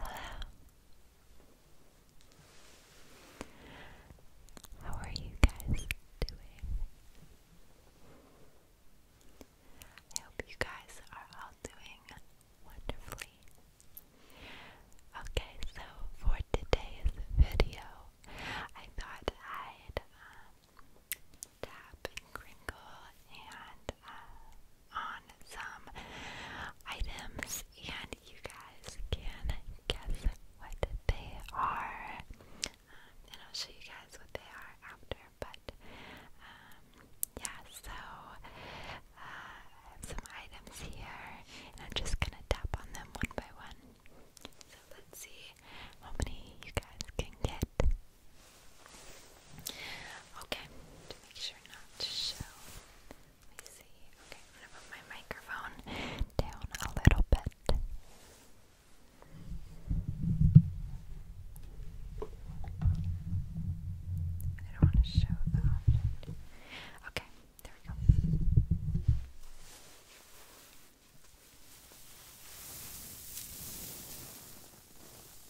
Hello. How are you guys doing? I hope you guys are all doing wonderfully. Okay, so for today's video, I thought i tap and crinkle and uh, on some items, and you guys can guess what they are. Um, and I'll show you guys what they are after, but um, yeah, so uh, I have some items here, and I'm just gonna tap on them one by one. So let's see how many you guys can get. Okay, to make sure not to show. Let me see. Okay, I'm gonna put my microphone down a little bit. I don't want to show the object. Okay, there we go.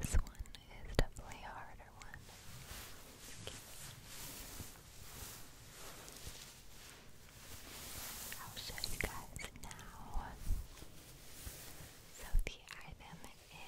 This one is definitely a harder one. I'll you guys now. So the item Heat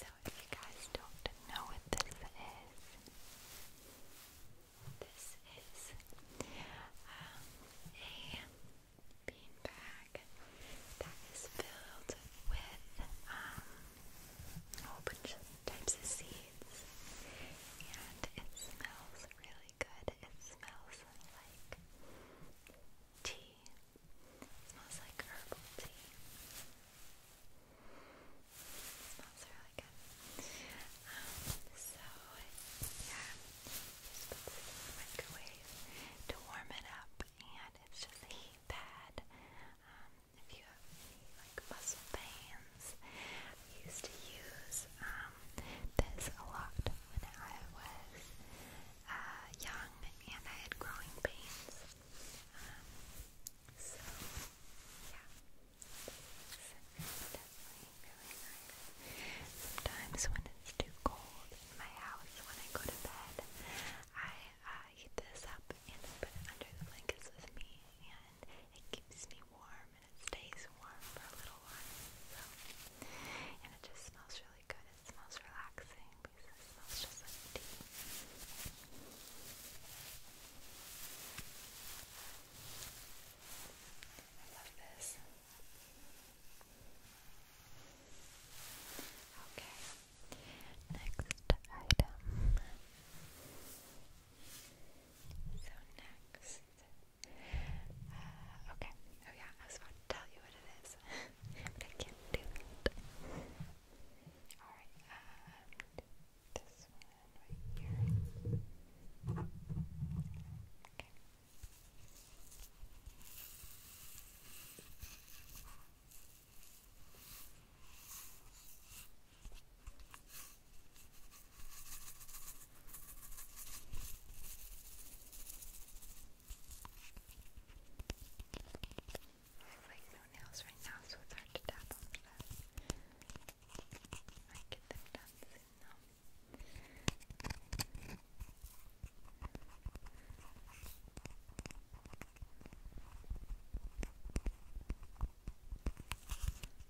so, if you guys don't know what this is, this is um, a bean bag that is filled with um, a whole bunch of types of seeds, and it smells really good. It smells like tea. smells like herbal tea. smells really good. Um, so, yeah, just put this in the microwave to warm it up, and it's just a heat pad. Um, if you have like muscle pain ones. I used to use um, this a lot when I was uh, young and I had growing pains. Um, so, yeah. It's definitely really nice. Sometimes when it's too cold in my house when I go to bed, I uh, heat this up and I put it under the blankets with me and it keeps me warm warm and it stays warm for a little while. So, and it just smells really good. It smells relaxing because it smells just like tea. I love this. Okay, next item. So, next uh, okay. Oh yeah, I was about to tell you what it is, but I can't do that. Alright, uh, this one right here. Okay. Okay have like no nails right now, so it's hard to tap on them. I get them done soon though.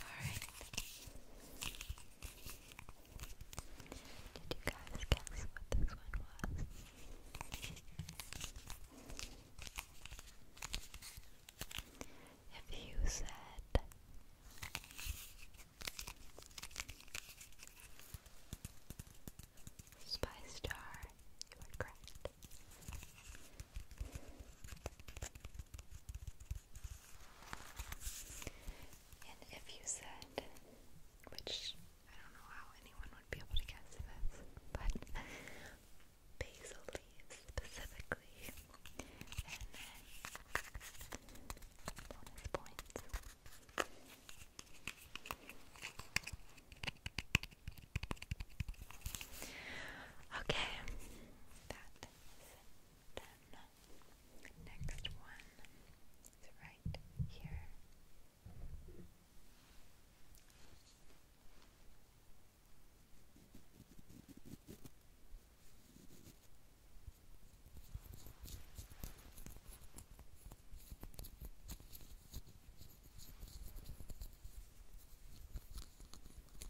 Alright. Did you guys guess what this one was? If you said Spice Jar, you were correct. And if you said, which I don't know how anyone would be able to guess this, but basil leaves specifically, and then bonus points. Okay, that is then, next one is right here.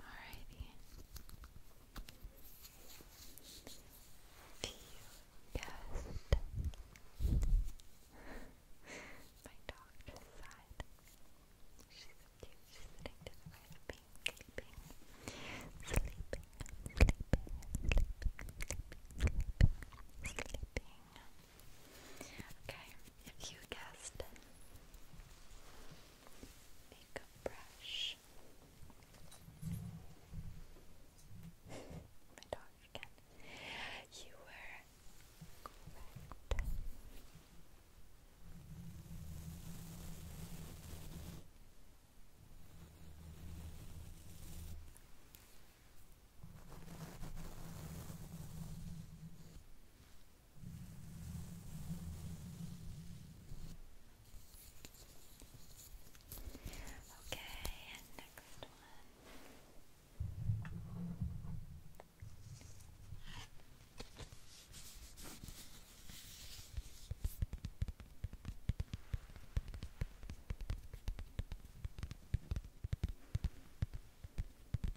Alrighty. You guessed. My dog just sighed. She's cute. She's sitting to the right of me, sleeping, sleeping, sleeping, sleeping, sleeping, sleeping. Okay, if you guessed makeup brush. My dog again. You were correct. Okay, and next one.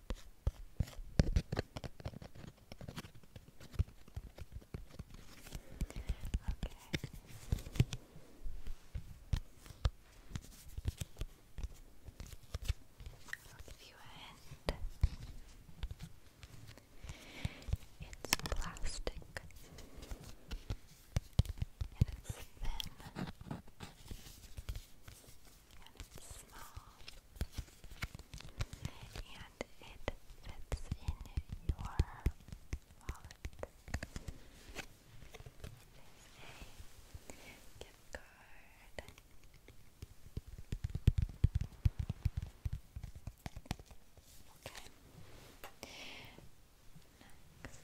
I'll give you a hint. It's plastic and it's thin and it's small and it fits in your wallet. It is a gift card. Okay.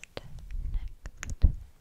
Next, next,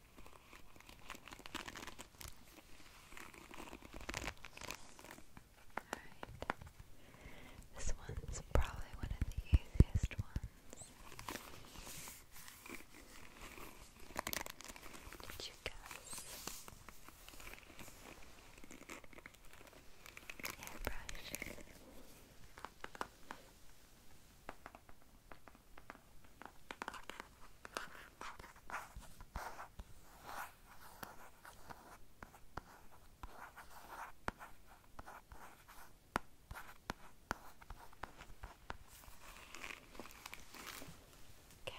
Alright. This one's probably one of the easiest ones. Did you guess? Hairbrush. Okay. Next one. Okay.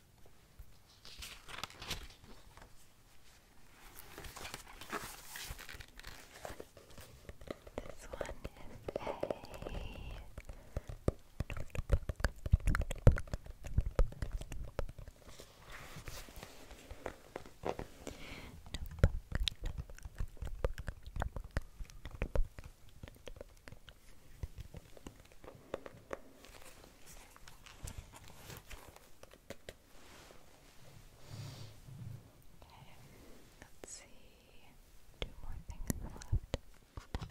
This one is a notebook. Notebook. Notebook. Notebook. Okay, let's see. Two more things left. Okay.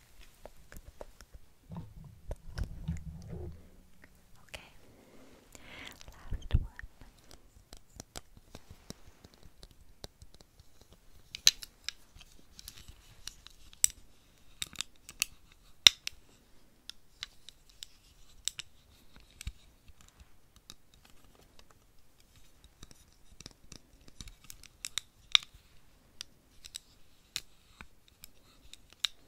Okay, last one.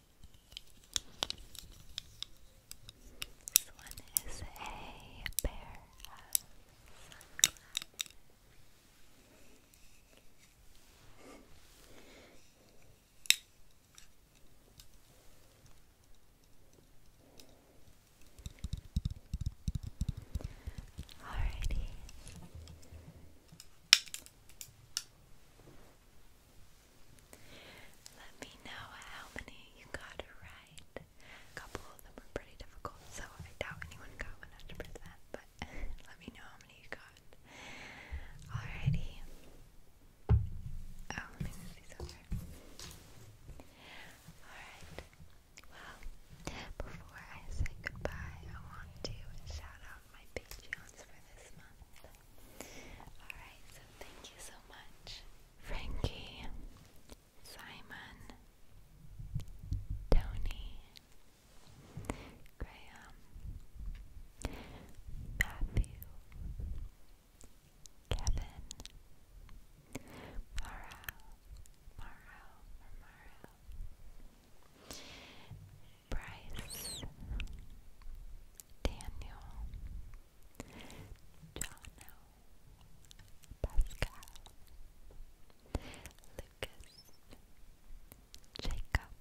This one is a pair of sunglasses. Alrighty. Let me know how many you got right. A couple of them were pretty difficult, so I doubt anyone got 100%, but let me know how many you got. Alrighty. Oh, let me move Alright. Well, before I say goodbye, I want to shout out my Patreons for this month. Alright, so thank you so much, Frankie, Simon, Tony, Graham, Matthew, Kevin, Mara, Mara, Mara, Bryce, Daniel, Jono, Pascal, Lucas, Jacob,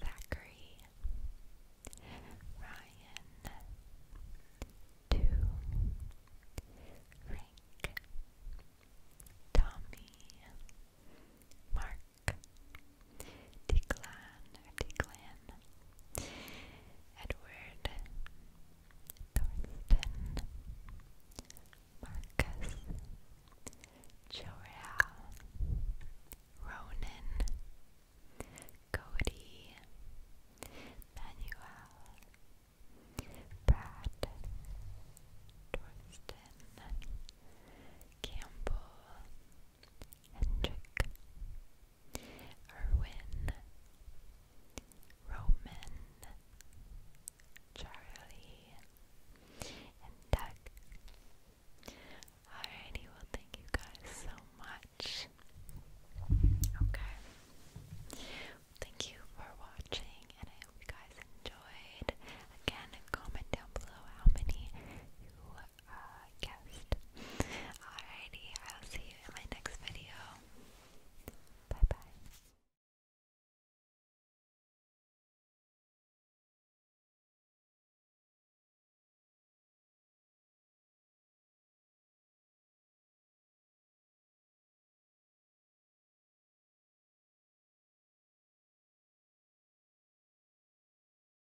Zachary, Ryan, Two, Frank, Tommy, Mark. Declan or Declan, Edward, Thornton, Marcus, Joel, Ronan, Cody, Manuel, Brad, Torsten, Campbell, Hendrik, Erwin, Roman, Charlie, and Doug. Alrighty, well, thank you guys so much. Okay. Thank you for watching, and I hope you guys enjoyed. Again, comment down below how many you uh, guest. Alrighty, I'll see you in my next video. Bye bye.